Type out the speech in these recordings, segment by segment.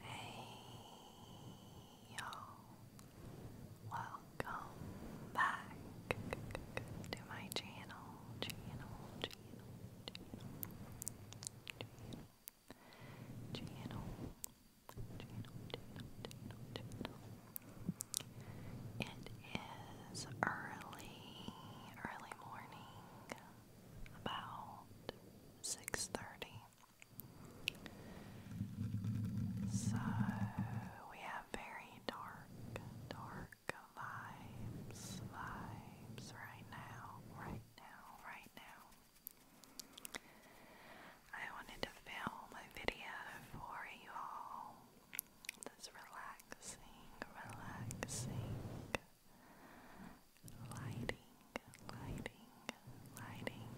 Hey y'all, welcome back to my channel, channel, channel, channel, channel, channel, channel, channel, channel. It is early, early morning about 6:30. So we have very dark, dark vibes, vibes right now, right now, right now. I wanted to film a video for you all. This relaxing, relaxing lighting, lighting, lighting.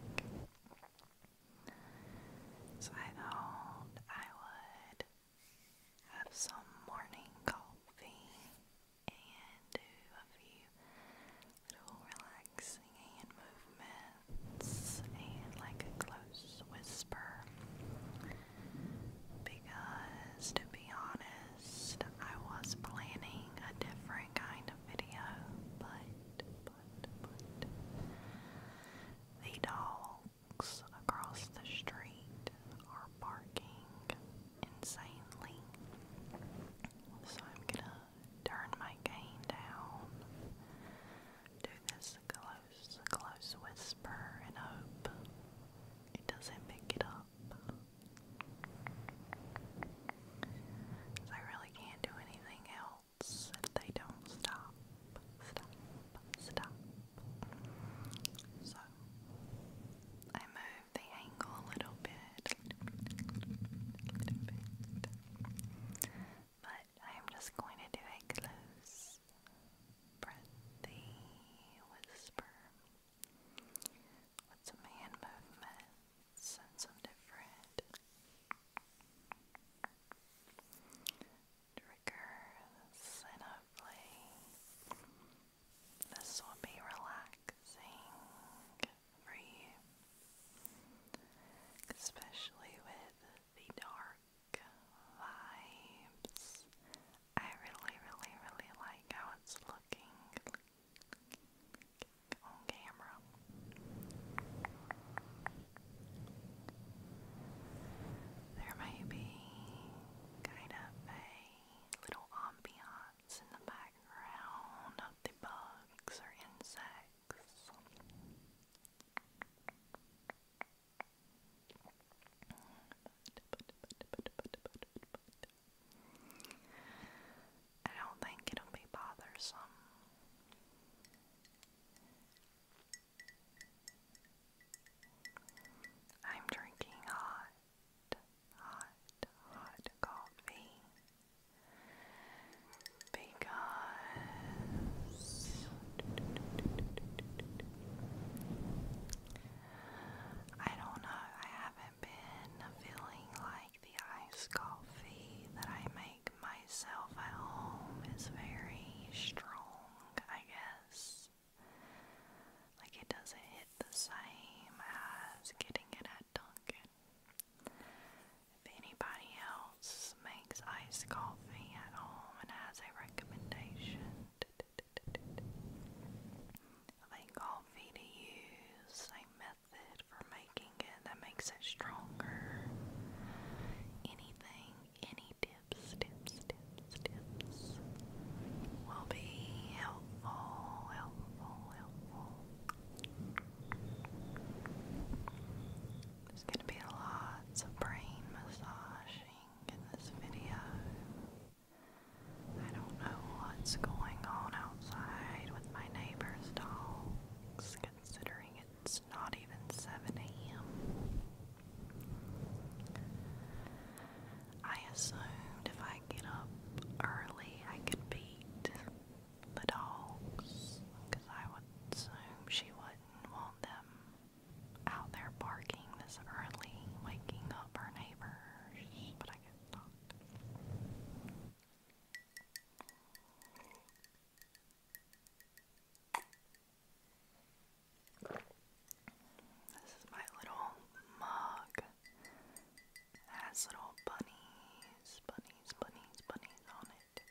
So I thought I would have some morning coffee and do a few little relaxing movements and like a close whisper. Because to be honest, I was planning a different kind of video, but, but, but, the dogs across the street are barking insanely, so I'm gonna turn my gain down, do this close, close whisper, and hope it doesn't pick it up. I really can't do anything else if they don't stop, stop, stop. So I move the angle a little bit. but I'm just going to do a close breathy whisper with some hand movements some different triggers, and hopefully this will be relaxing for you, especially with the dark vibes. I really, really, really like how it's looking, looking on camera. There may be kind of a little ambiance in the background of the bugs or insects. I don't think it'll be bothersome. I'm drinking hot, hot, hot coffee because I don't know, I haven't i been feeling like the iced coffee that I make myself at home is very strong, I guess. Like it doesn't hit the same as getting it at Dunkin'. If anybody else makes iced coffee at home and has a recommendation like coffee to use a method for making it that makes it stronger. Anything, any tips, tips, tips, tips will be helpful, helpful, helpful. There's going to be lots of brain massaging in this video. I don't know what's going on outside with my neighbor's dogs, considering it's not even 7 a.m. I assumed if I get up early, I could beat the dogs, because I would assume she wouldn't want them out there barking this early, waking up her neighbors, but I this is my little mug. It has little bunnies, bunnies, bunnies, bunnies on it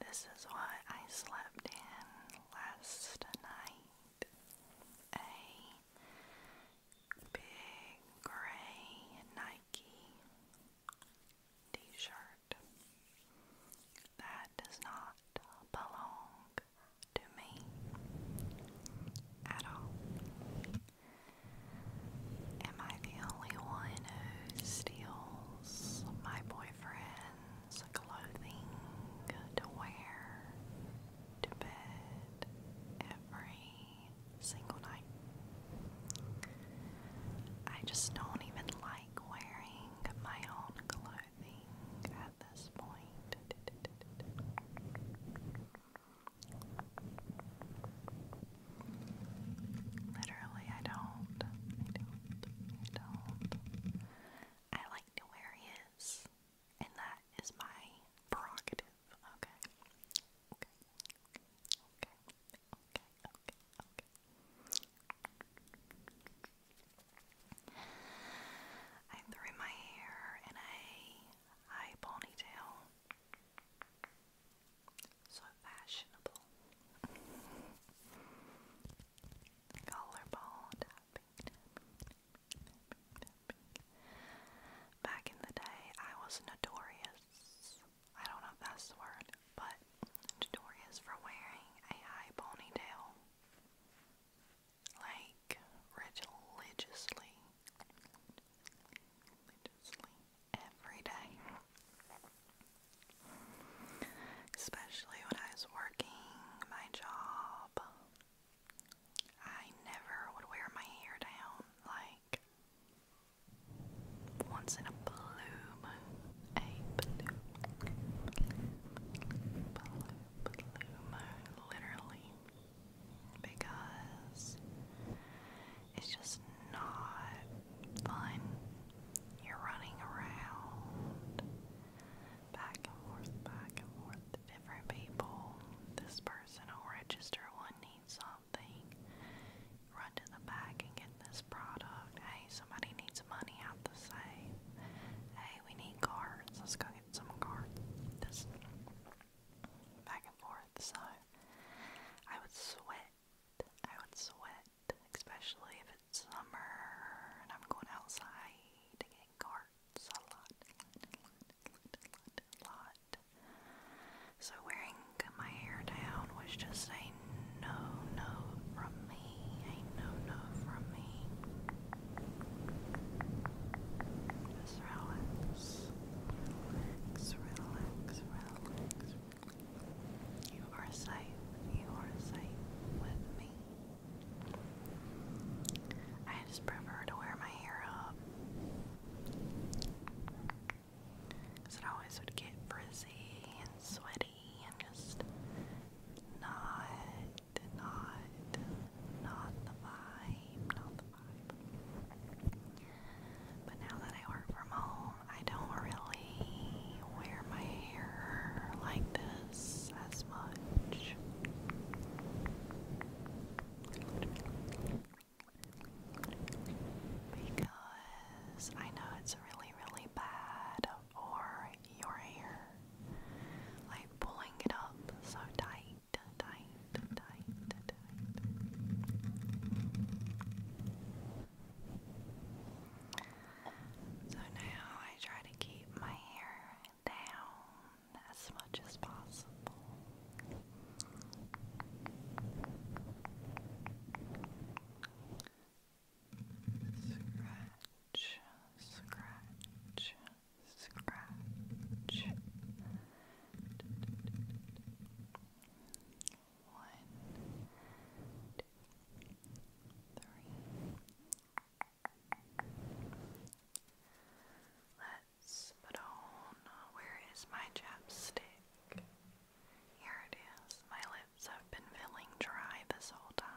this is why I slept in last night. A big gray Nike t shirt that does not belong to me at all. Am I the only one who steals my boyfriend's clothing to wear to bed every single night? I just don't even like wearing my own clothing at this point. Literally, I don't. I don't. I don't. I like to wear and that is my prerogative. Okay. Okay. Okay. Okay. Okay. Okay. I threw my hair in a high ponytail. So fashionable. Colorball tapping, Back in the day, I was notorious. I don't know if that's the word, but notorious for wearing a high ponytail. Like, religiously. Religiously every day. Especially when I was working my job, I never would wear my hair down like once in a bloom. A bloom, bloom, literally because it's just not fun. You're running around back and forth, back and forth different people. This person will register one needs something. Run to the back and get this product. Hey, somebody needs money out the safe. Hey, we need cards. Let's go get some cards back and forth, so I would sweat. I would sweat, especially if it's summer and I'm going outside to get carts a lot, a lot, So wearing my hair down was just a no no from me, a no no from me. Just relax relax, relax, relax. You are safe, you are safe with me. I just prefer to wear my hair up. it always would get frizzy and sweaty and just not, not, not the vibe, but now that I work from home, I don't really wear my hair like this as much. Because I know it's really, really bad for your hair. Like pulling it up so tight tight, tight, So now I try to keep my hair down as much as possible. Scratch, scratch, scratch, one, two, three. Let's put on. Where is my chapstick? Here it is. My lips have been feeling dry this whole time.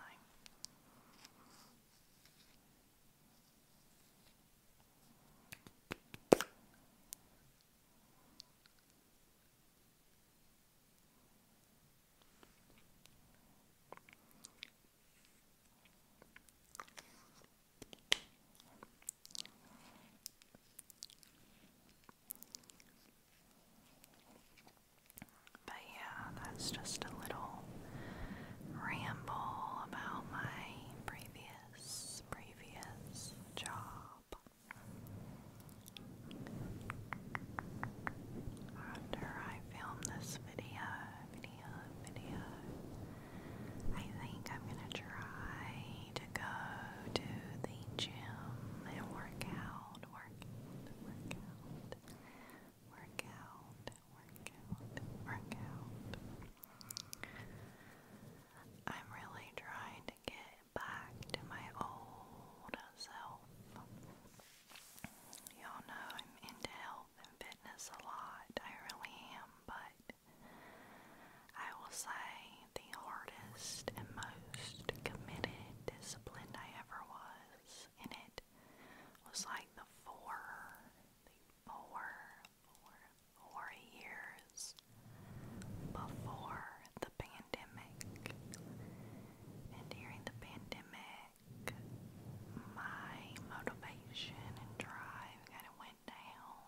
But yeah, that's just a little ramble about my previous previous, job. After I film this video, video, video, I think I'm gonna try to go to the gym and work out, work out, work out, work out, work out. I'm really trying to get back to my old self. Y'all know I'm into health and fitness a lot, I really am, but I will say the hardest and most committed discipline I ever was in it was like the four, the four or years before the pandemic. And during the pandemic, my motivation and drive kind of went down,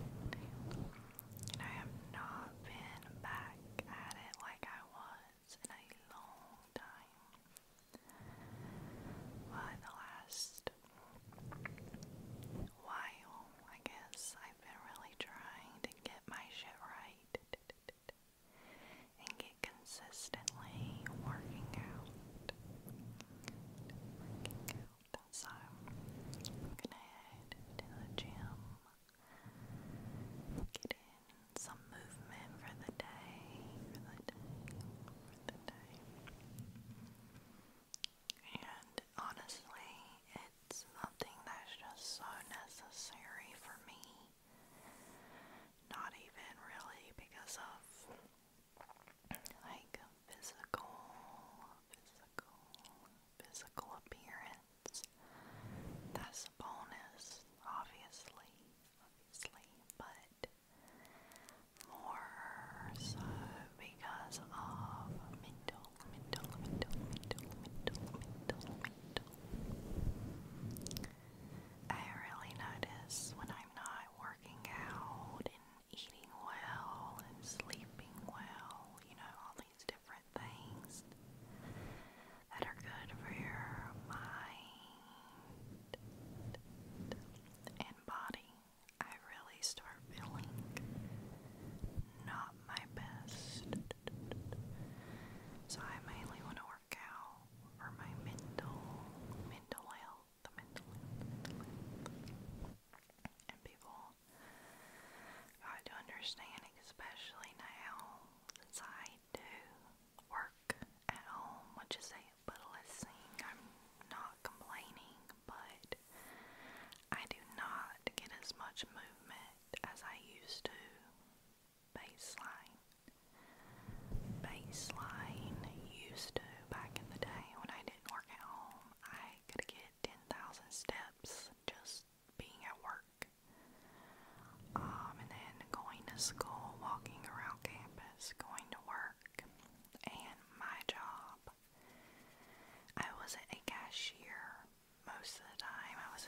And I have not been back at it like I was in a long time. But the last while, I guess, I've been really trying to get my shit right and get consistently working out. So, I'm to the gym, get in some movement for the day, for the day, for the day. And honestly, it's something that's just so necessary for me. Not even really because of like physical, physical, physical appearance. That's a bonus, obviously, obviously, but more so because of mental, mental, mental, mental, mental, mental, mental. I really notice when I'm not working out and eating well and sleeping well, you know, all these different things that are good for your mind and body. I really start feeling not my best. So I mainly want to work out for my mental, mental health, the mental and people got to understand, especially now, since I do work at home, which is a littlest thing. I'm not complaining, but I do not get as much movement as I used to. Baseline. Baseline used to back in the day when I didn't work at home. I could get 10,000 steps just being at work. Um, and then going to school, walking around campus, going to work. And my job I was a cashier most of the time. I was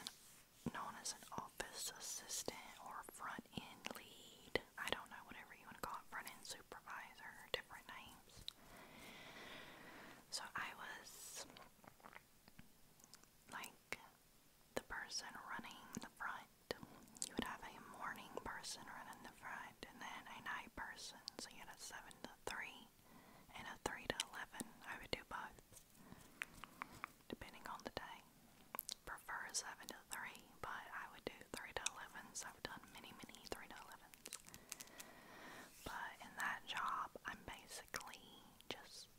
known as an office assistant or front end lead. I don't know, whatever you want to call it, front end supervisor, different names. So I was like the person running the front. You would have a morning person running the and then a night person, so you had a 7 to 3 and a 3 to 11. I would do both, depending on the day. Prefer a 7 to 3, but I would do 3 to 11s. I've done many, many 3 to 11s. But in that job, I'm basically just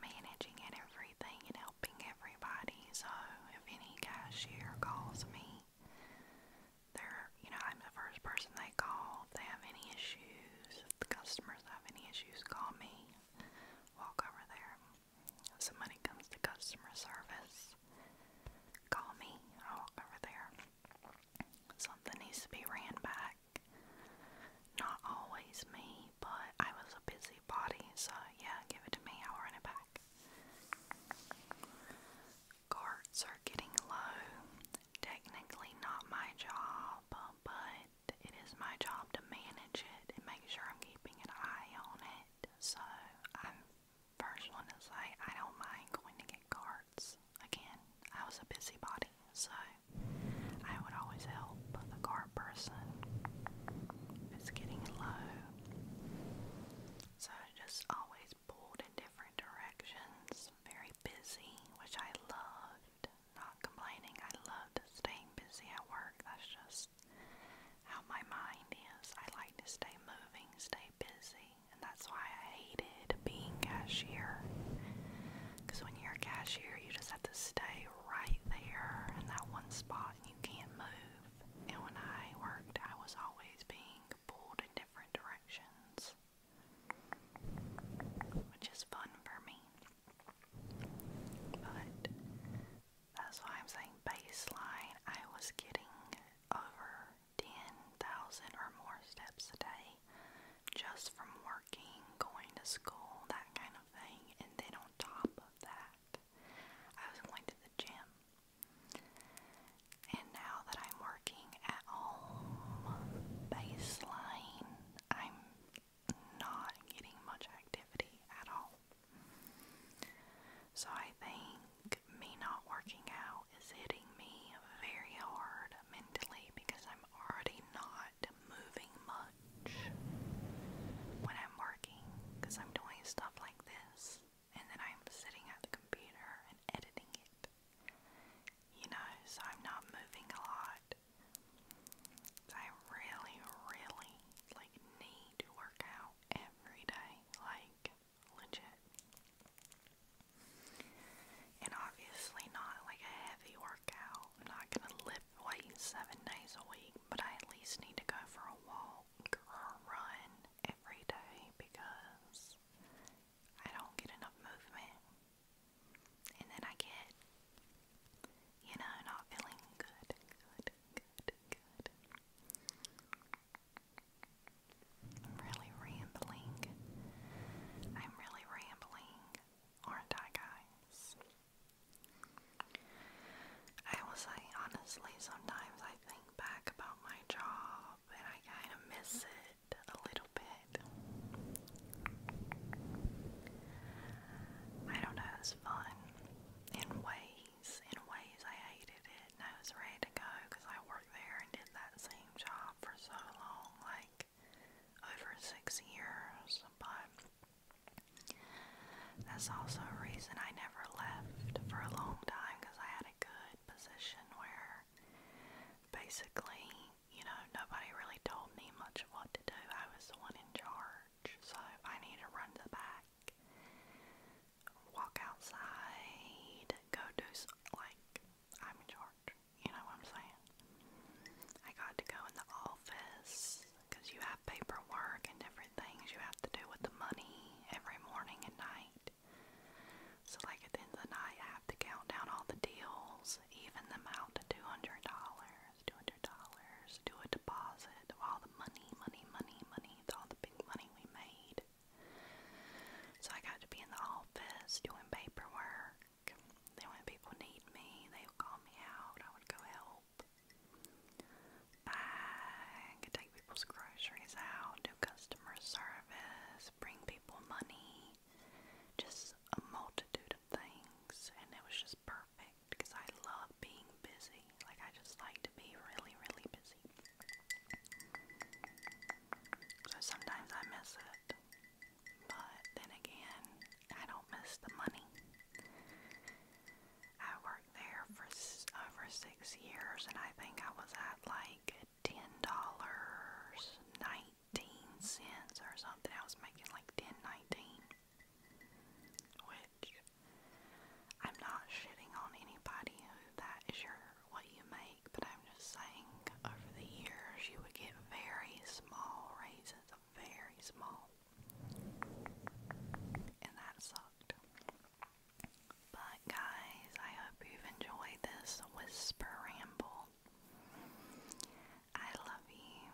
managing and everything and helping everybody. So if any cashier calls me, they're, you know, I'm the first person they call. If they have any issues, if the customers have any issues, call me. Walk over there. If somebody comes to customer service, call me. I walk over there. Something needs to be ran back. Not always me, but I was a busy body, so yeah, give it to me. I'll run it back. Cards are getting low. Technically, not my job, but it is my job to manage it make sure I'm keeping an eye on it. So, first one to say I don't mind going to get carts. Again, I was a busybody, so I would always help the cart person it's getting low. So, just always always pulled in different directions, very busy, which I loved. Not complaining, I loved staying busy at work. That's just how my mind is. I like to stay moving, stay busy, and that's why I hated being cashier. Because when you're a cashier, you just have to stay right there in that one spot and you can't move. And when I worked, I was always being pulled in different directions, which is fun for me. But that's why I'm saying baseline, I was getting over 10,000 or more steps a day just from working, going to school, that kind of thing. And then on top of that, I was going to the gym. And now that I'm working at home baseline, I'm not getting much activity at all. So I think me not working out is hitting me very hard mentally because I'm already not moving much when I'm working because I'm doing stuff like this and then I'm sitting at the computer and editing it. You know, so I'm not moving a lot. I really, really like need to work out every day, like legit. And obviously not like a heavy workout. I'm not gonna lift weights seven days a week, but I at least need to go for a walk or a run every day because I don't get enough movement. And then I get, you know, not feeling good, good, good, good. I'm really rambling. I'm really rambling, aren't I, guys? I will say, honestly, sometimes I think back about my job but I kind of miss it a little bit. I don't know, it was fun in ways. In ways, I hated it I was ready to go because I worked there and did that same job for so long like over six years. But that's also a reason I never left for a long time because I had a good good position where basically, you know, nobody really told me much of what to do. I was the one in charge. So I need to run to the back, walk outside, go do something like I'm in charge. You know what I'm saying? I got to go in the office because you have paperwork and different things you have to do with the money every morning and night. So, like at the end of the night, I have to count down all the deals, even them out to $200, $200, do a deposit of all the money, money, money, money, all the big money we made. So, I got to be in the office doing paperwork. Then, when people need me, they would call me out, I would go help. I could take people's groceries out, do customer service, bring people money, just a multitude of things. And it was just perfect because I love being busy. Like, I just like to be really, really busy. So sometimes I miss it. But then again, I don't miss the money. I work worked there for uh, over six years, and I think I was at like ten dollars nineteen cents or something. I was making like ten nineteen, which I'm not shitting on anybody who that is your what you make, but I'm just saying over the years you would get very small raises, very small, and that sucked. But guys, I hope you've enjoyed this whisper ramble. I love you.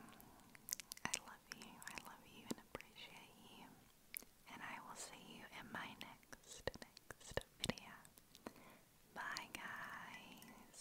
I love you. I love you and appreciate you. And I will see you in my next next video. Bye guys.